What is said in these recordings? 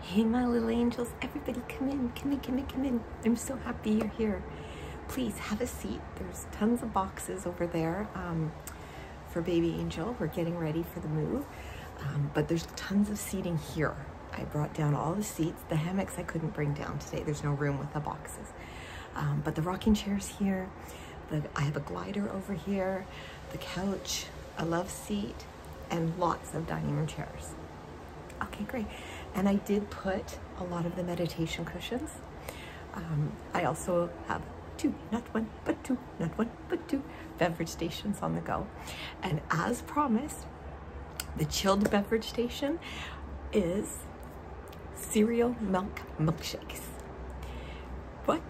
Hey, my little angels, everybody come in, come in, come in, come in. I'm so happy you're here. Please have a seat. There's tons of boxes over there um, for Baby Angel. We're getting ready for the move, um, but there's tons of seating here. I brought down all the seats. The hammocks I couldn't bring down today. There's no room with the boxes, um, but the rocking chair's here. The, I have a glider over here, the couch, a love seat, and lots of dining room chairs. Okay, great. And I did put a lot of the meditation cushions. Um, I also have two, not one, but two, not one, but two beverage stations on the go. And as promised, the chilled beverage station is cereal milk milkshakes. What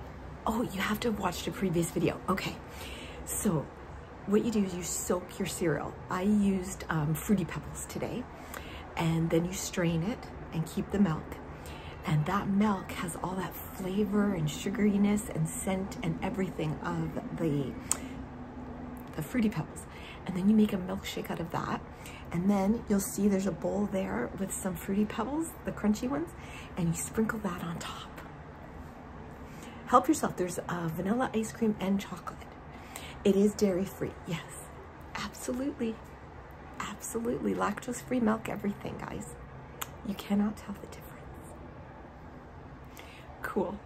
Oh, you have to watch watched a previous video. Okay. So what you do is you soak your cereal. I used um, Fruity Pebbles today. And then you strain it and keep the milk. And that milk has all that flavor and sugariness and scent and everything of the, the Fruity Pebbles. And then you make a milkshake out of that. And then you'll see there's a bowl there with some Fruity Pebbles, the crunchy ones, and you sprinkle that on top. Help yourself. There's uh, vanilla ice cream and chocolate. It is dairy free. Yes, absolutely. Absolutely. Lactose free milk, everything, guys. You cannot tell the difference. Cool.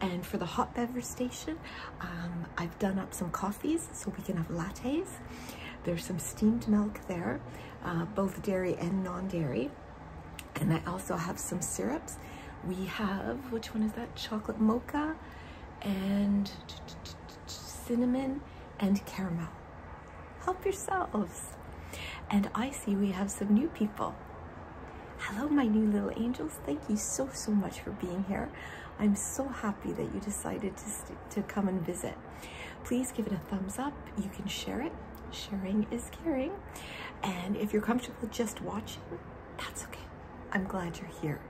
And for the hot beverage station, um, I've done up some coffees so we can have lattes. There's some steamed milk there, uh, both dairy and non-dairy. And I also have some syrups. We have, which one is that? Chocolate mocha and cinnamon and caramel. Help yourselves. And I see we have some new people. Hello, my new little angels. Thank you so, so much for being here. I'm so happy that you decided to, to come and visit. Please give it a thumbs up. You can share it. Sharing is caring. And if you're comfortable just watching, that's okay. I'm glad you're here.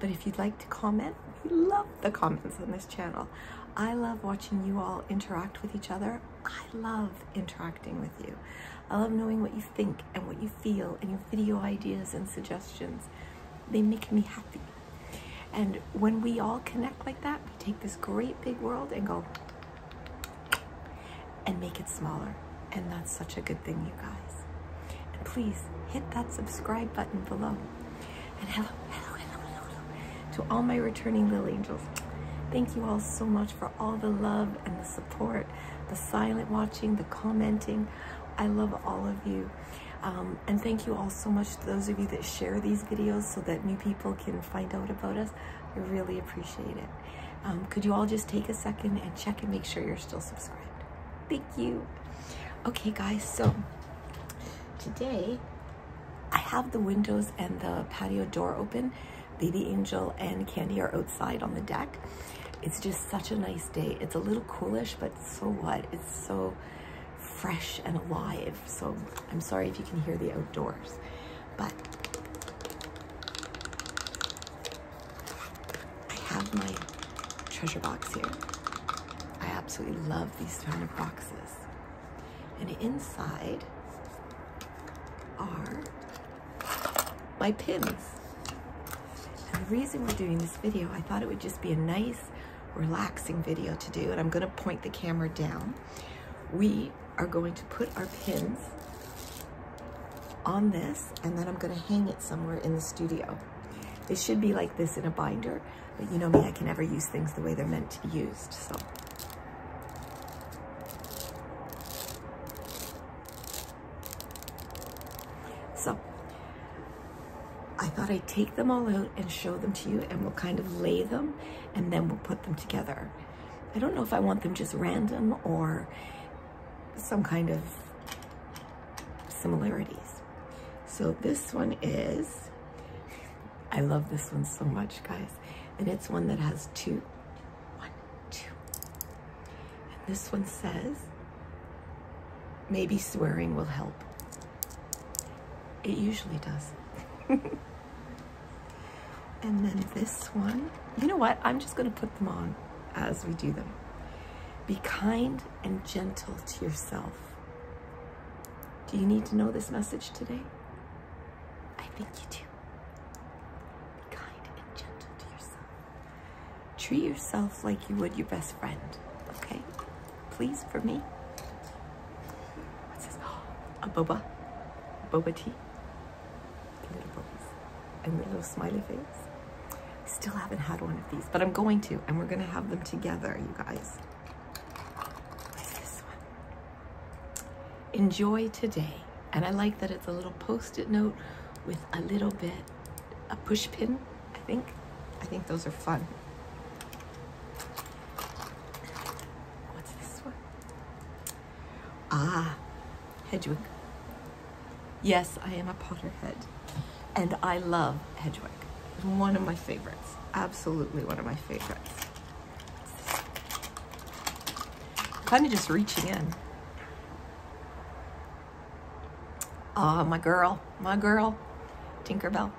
But if you'd like to comment, we love the comments on this channel. I love watching you all interact with each other. I love interacting with you. I love knowing what you think and what you feel and your video ideas and suggestions. They make me happy. And when we all connect like that, take this great big world and go and make it smaller. And that's such a good thing, you guys. And please hit that subscribe button below. And hello, hello, hello, hello, hello to all my returning little angels. Thank you all so much for all the love and the support, the silent watching, the commenting. I love all of you. Um, and thank you all so much those of you that share these videos so that new people can find out about us. I really appreciate it. Um, could you all just take a second and check and make sure you're still subscribed? Thank you. Okay, guys, so today I have the windows and the patio door open. Baby Angel and Candy are outside on the deck. It's just such a nice day. It's a little coolish, but so what? It's so fresh and alive so I'm sorry if you can hear the outdoors, but I have my treasure box here. I absolutely love these kind of boxes. And inside are my pins. And the reason we're doing this video, I thought it would just be a nice relaxing video to do and I'm gonna point the camera down. We are going to put our pins on this and then I'm gonna hang it somewhere in the studio. They should be like this in a binder, but you know me, I can never use things the way they're meant to be used, So, I thought I'd take them all out and show them to you and we'll kind of lay them and then we'll put them together. I don't know if I want them just random or some kind of similarities. So this one is, I love this one so much, guys. And it's one that has two. And this one says, maybe swearing will help. It usually does. and then this one. You know what? I'm just going to put them on as we do them. Be kind and gentle to yourself. Do you need to know this message today? I think you do. Be kind and gentle to yourself. Treat yourself like you would your best friend, okay? please, for me. What's this? a boba. Boba tea. Little bobas. And little smiley face. Still haven't had one of these, but I'm going to, and we're going to have them together, you guys. What's this one? Enjoy today. And I like that it's a little post-it note with a little bit, a push pin, I think. I think those are fun. What's this one? Ah, Hedwig. Yes, I am a Potterhead, and I love Hedwig. One of my favorites, absolutely one of my favorites. Kind of just reaching in. Ah, my girl, my girl, Tinkerbell.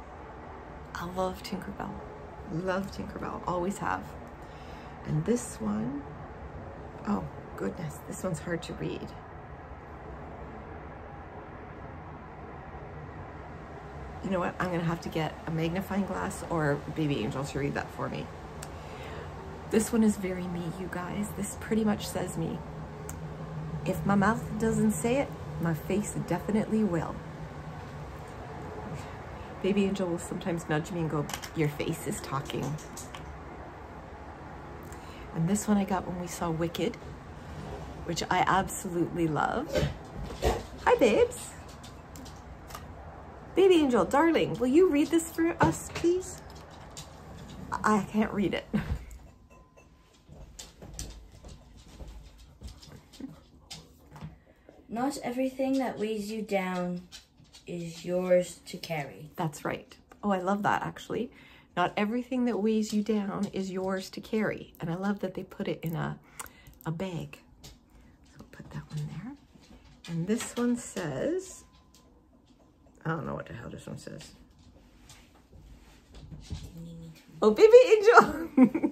I love Tinkerbell. Love Tinkerbell. Always have. And this one, oh goodness, this one's hard to read. You know what? I'm going to have to get a magnifying glass or Baby Angel to read that for me. This one is very me, you guys. This pretty much says me. If my mouth doesn't say it, my face definitely will. Baby Angel will sometimes nudge me and go, your face is talking. And this one I got when we saw Wicked, which I absolutely love. Hi, babes. Baby Angel, darling, will you read this for us, please? I can't read it. Not everything that weighs you down is yours to carry. That's right. Oh, I love that actually. Not everything that weighs you down is yours to carry. And I love that they put it in a, a bag. So put that one there. And this one says, I don't know what the hell this one says. Oh, baby angel!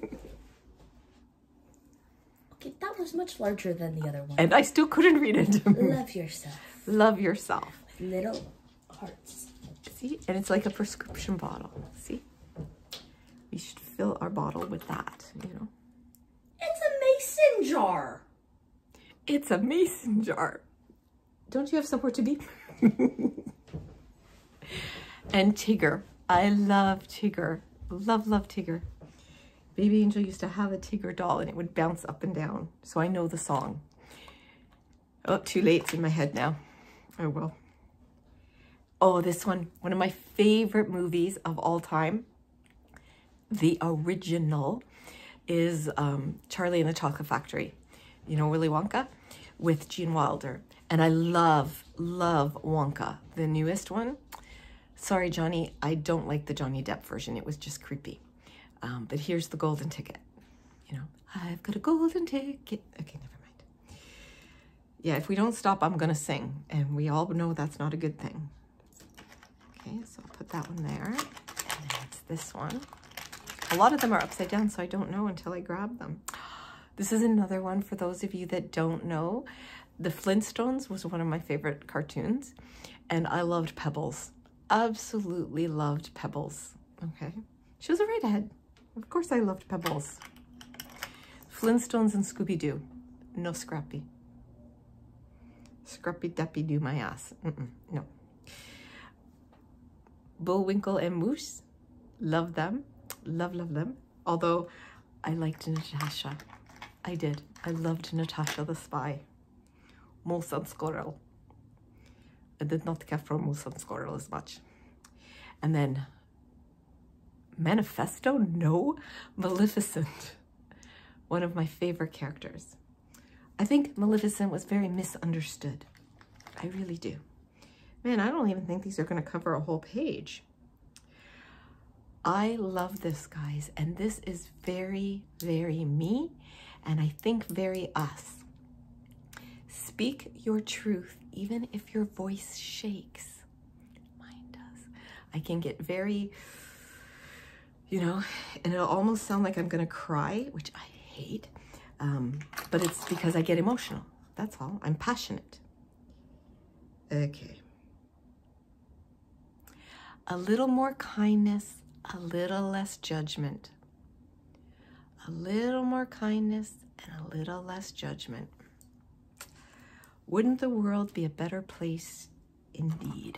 okay, that was much larger than the other one. And I still couldn't read it. Love yourself. Love yourself. little hearts. See? And it's like a prescription bottle. See? We should fill our bottle with that, you know? It's a mason jar. It's a mason jar. Don't you have somewhere to be? and Tiger, I love Tiger, Love, love Tiger. Baby Angel used to have a Tiger doll and it would bounce up and down. So I know the song. Oh, too late. It's in my head now. Oh, well. Oh, this one. One of my favorite movies of all time. The original is um, Charlie and the Chocolate Factory you know, Willy Wonka with Gene Wilder. And I love, love Wonka, the newest one. Sorry, Johnny, I don't like the Johnny Depp version. It was just creepy. Um, but here's the golden ticket. You know, I've got a golden ticket. Okay, never mind. Yeah, if we don't stop, I'm going to sing. And we all know that's not a good thing. Okay, so I'll put that one there. And it's this one. A lot of them are upside down, so I don't know until I grab them. This is another one for those of you that don't know. The Flintstones was one of my favorite cartoons, and I loved Pebbles. Absolutely loved Pebbles. Okay. She was a redhead. Of course I loved Pebbles. Flintstones and Scooby-Doo. No Scrappy. Scrappy-Dappy-Doo my ass. no. Bulwinkle and Moose. Love them. Love, love them. Although I liked Natasha. I did. I loved Natasha the Spy. Moose and Squirrel. I did not care for Moose and Squirrel as much. And then Manifesto? No. Maleficent. One of my favorite characters. I think Maleficent was very misunderstood. I really do. Man, I don't even think these are gonna cover a whole page. I love this, guys, and this is very, very me, and I think very us. Speak your truth, even if your voice shakes. Mine does. I can get very, you know, and it'll almost sound like I'm gonna cry, which I hate, um, but it's because I get emotional. That's all. I'm passionate. Okay. A little more kindness, a little less judgment. A little more kindness and a little less judgment. Wouldn't the world be a better place indeed?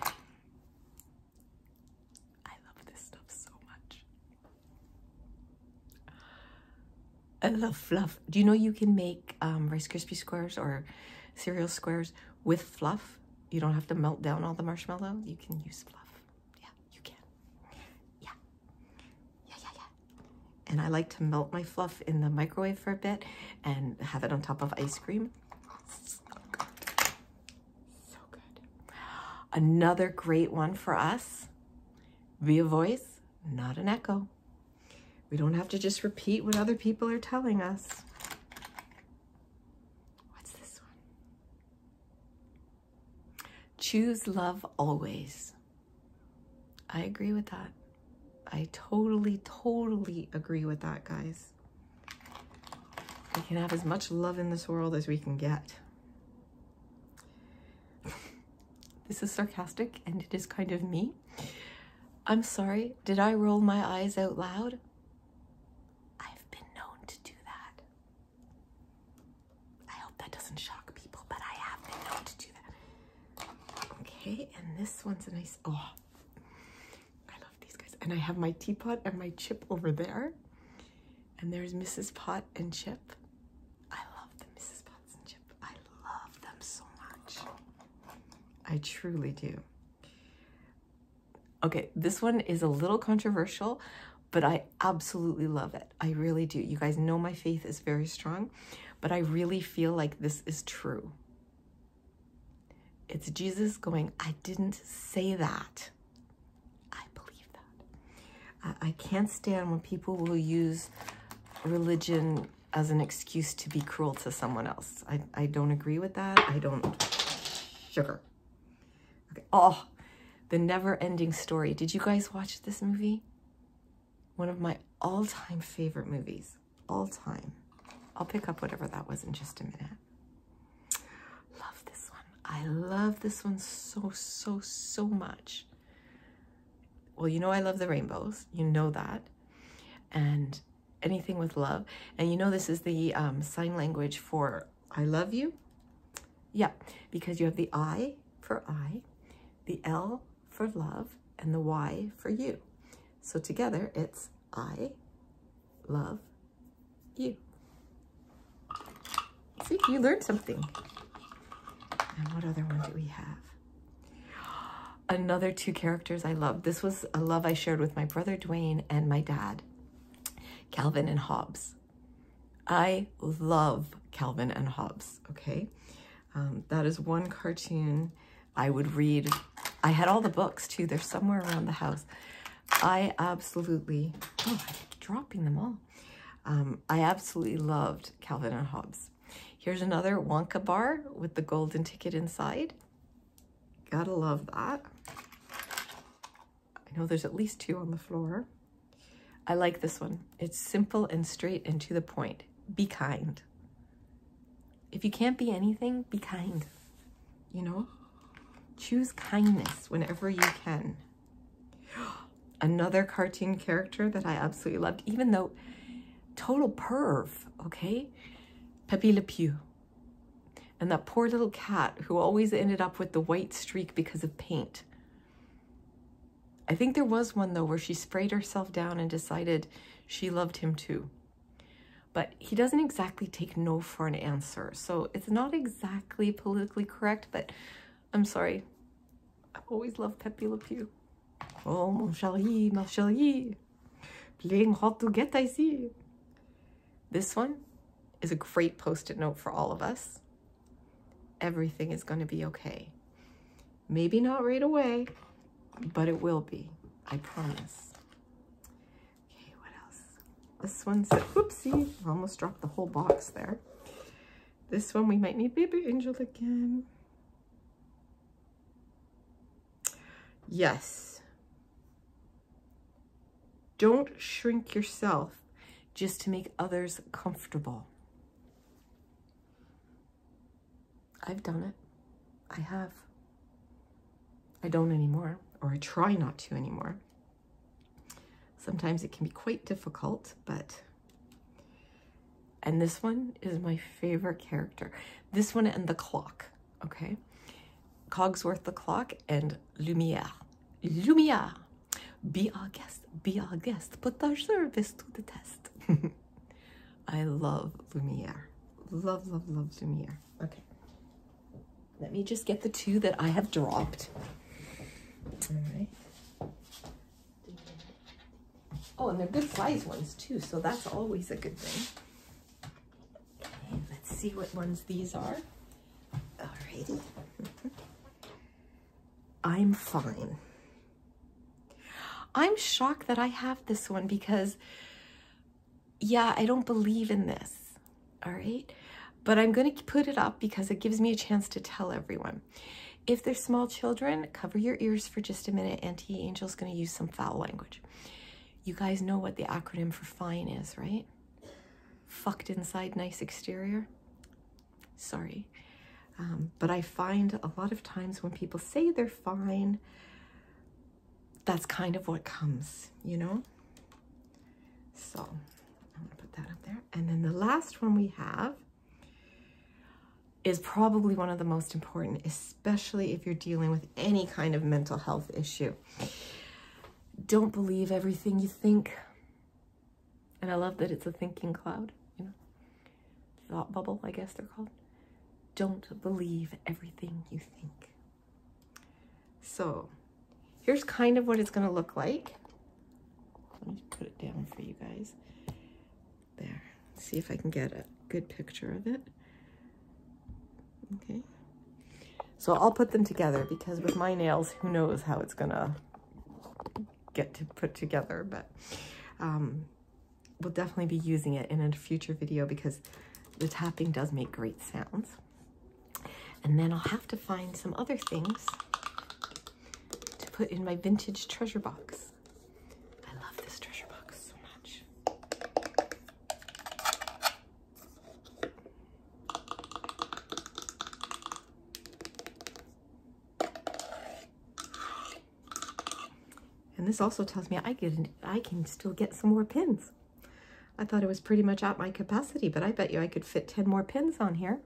I love this stuff so much. I love fluff. Do you know you can make um, Rice Krispie squares or cereal squares with fluff? You don't have to melt down all the marshmallow. You can use fluff. Yeah, you can. Yeah. Yeah, yeah, yeah. And I like to melt my fluff in the microwave for a bit and have it on top of ice cream. So good. Another great one for us be a voice, not an echo. We don't have to just repeat what other people are telling us. What's this one? Choose love always. I agree with that. I totally, totally agree with that, guys. We can have as much love in this world as we can get this is sarcastic and it is kind of me. I'm sorry, did I roll my eyes out loud? I've been known to do that. I hope that doesn't shock people, but I have been known to do that. Okay, and this one's a nice, oh, I love these guys. And I have my teapot and my chip over there. And there's Mrs. Pot and Chip. I love the Mrs. Potts and Chip. I love them so much. I truly do. Okay, this one is a little controversial, but I absolutely love it. I really do. You guys know my faith is very strong, but I really feel like this is true. It's Jesus going, I didn't say that. I believe that. I, can't stand when people will use religion as an excuse to be cruel to someone else. I, I don't agree with that. I don't. Sugar. Oh, The Never Ending Story. Did you guys watch this movie? One of my all-time favorite movies. All time. I'll pick up whatever that was in just a minute. Love this one. I love this one so, so, so much. Well, you know I love the rainbows. You know that. And anything with love. And you know this is the um, sign language for I love you. Yeah, because you have the I for I, the L for love, and the Y for you. So together it's I love you. See, you learned something. And what other one do we have? Another two characters I love. This was a love I shared with my brother Dwayne and my dad, Calvin and Hobbes. I love Calvin and Hobbes, okay? Um, that is one cartoon I would read. I had all the books too. They're somewhere around the house. I absolutely, oh, dropping them all. Um, I absolutely loved Calvin and Hobbes. Here's another Wonka bar with the golden ticket inside. Gotta love that. I know there's at least two on the floor. I like this one. It's simple and straight and to the point. Be kind. If you can't be anything, be kind. You know? Choose kindness whenever you can. Another cartoon character that I absolutely loved, even though total perv, okay? Pepe Le Pew. And that poor little cat who always ended up with the white streak because of paint. I think there was one though where she sprayed herself down and decided she loved him too. But he doesn't exactly take no for an answer. So it's not exactly politically correct, but I'm sorry. i always love Pepe Le Pew. Oh, mon chéri, mon chéri. Playing hard to get, I see. This one is a great post-it note for all of us. Everything is going to be okay. Maybe not right away, but it will be. I promise. Okay, what else? This one one's, whoopsie, almost dropped the whole box there. This one, we might need Baby Angel again. Yes. Don't shrink yourself just to make others comfortable. I've done it. I have. I don't anymore, or I try not to anymore. Sometimes it can be quite difficult, but... And this one is my favorite character. This one and the clock, okay? Cogsworth the clock and Lumiere. Lumiere! Be our guest, be our guest, put our service to the test. I love Lumiere. Love, love, love Lumiere. Okay. Let me just get the two that I have dropped. All right. Oh, and they're good size ones too, so that's always a good thing. let's see what ones these are. Alrighty. I'm fine. I'm shocked that I have this one because, yeah, I don't believe in this all right? But I'm gonna put it up because it gives me a chance to tell everyone. If they're small children, cover your ears for just a minute. Auntie Angel's gonna use some foul language. You guys know what the acronym for fine is, right? Fucked inside, nice exterior. Sorry. Um, but I find a lot of times when people say they're fine, that's kind of what comes, you know? So I'm gonna put that up there. And then the last one we have is probably one of the most important, especially if you're dealing with any kind of mental health issue. Don't believe everything you think. And I love that it's a thinking cloud, you know, thought bubble, I guess they're called. Don't believe everything you think. So here's kind of what it's going to look like. Let me put it down for you guys. There. See if I can get a good picture of it. Okay. So I'll put them together because with my nails, who knows how it's going to get to put together. But um, we'll definitely be using it in a future video because the tapping does make great sounds. And then I'll have to find some other things to put in my vintage treasure box. I love this treasure box so much. And this also tells me I I can still get some more pins. I thought it was pretty much at my capacity, but I bet you I could fit 10 more pins on here.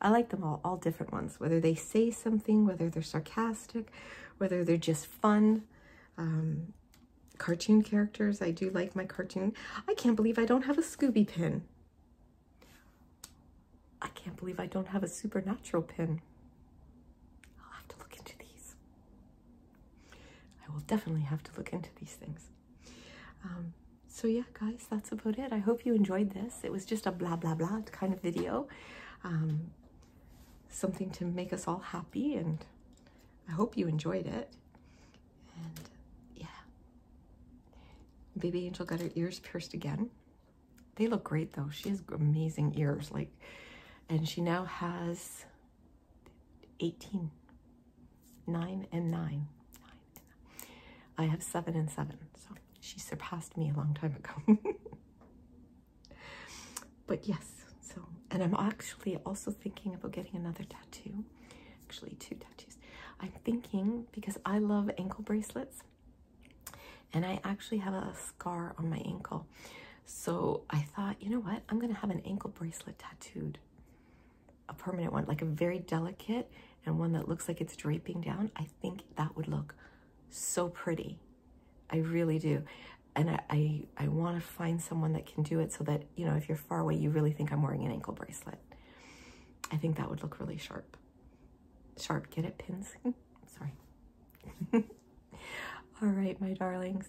I like them all, all different ones, whether they say something, whether they're sarcastic, whether they're just fun. Um, cartoon characters, I do like my cartoon. I can't believe I don't have a Scooby pin. I can't believe I don't have a supernatural pin. I'll have to look into these. I will definitely have to look into these things. Um, so yeah, guys, that's about it. I hope you enjoyed this. It was just a blah, blah, blah kind of video. Um, something to make us all happy and I hope you enjoyed it. And yeah, baby angel got her ears pierced again. They look great though. She has amazing ears like, and she now has 18, 9 and 9. I have 7 and 7, so she surpassed me a long time ago. but yes, so, and I'm actually also thinking about getting another tattoo. Actually, two tattoos. I'm thinking, because I love ankle bracelets, and I actually have a scar on my ankle. So I thought, you know what? I'm going to have an ankle bracelet tattooed a permanent one, like a very delicate and one that looks like it's draping down, I think that would look so pretty. I really do. And I, I, want to find someone that can do it so that, you know, if you're far away, you really think I'm wearing an ankle bracelet. I think that would look really sharp. Sharp, get it, pins? Sorry. All right, my darlings.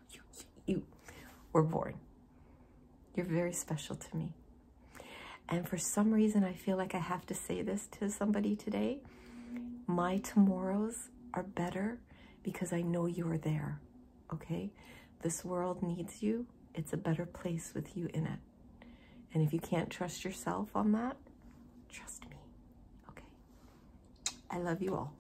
you, you were born. You're very special to me. And for some reason, I feel like I have to say this to somebody today. My tomorrows are better because I know you're there, okay? This world needs you. It's a better place with you in it. And if you can't trust yourself on that, trust me, okay? I love you all.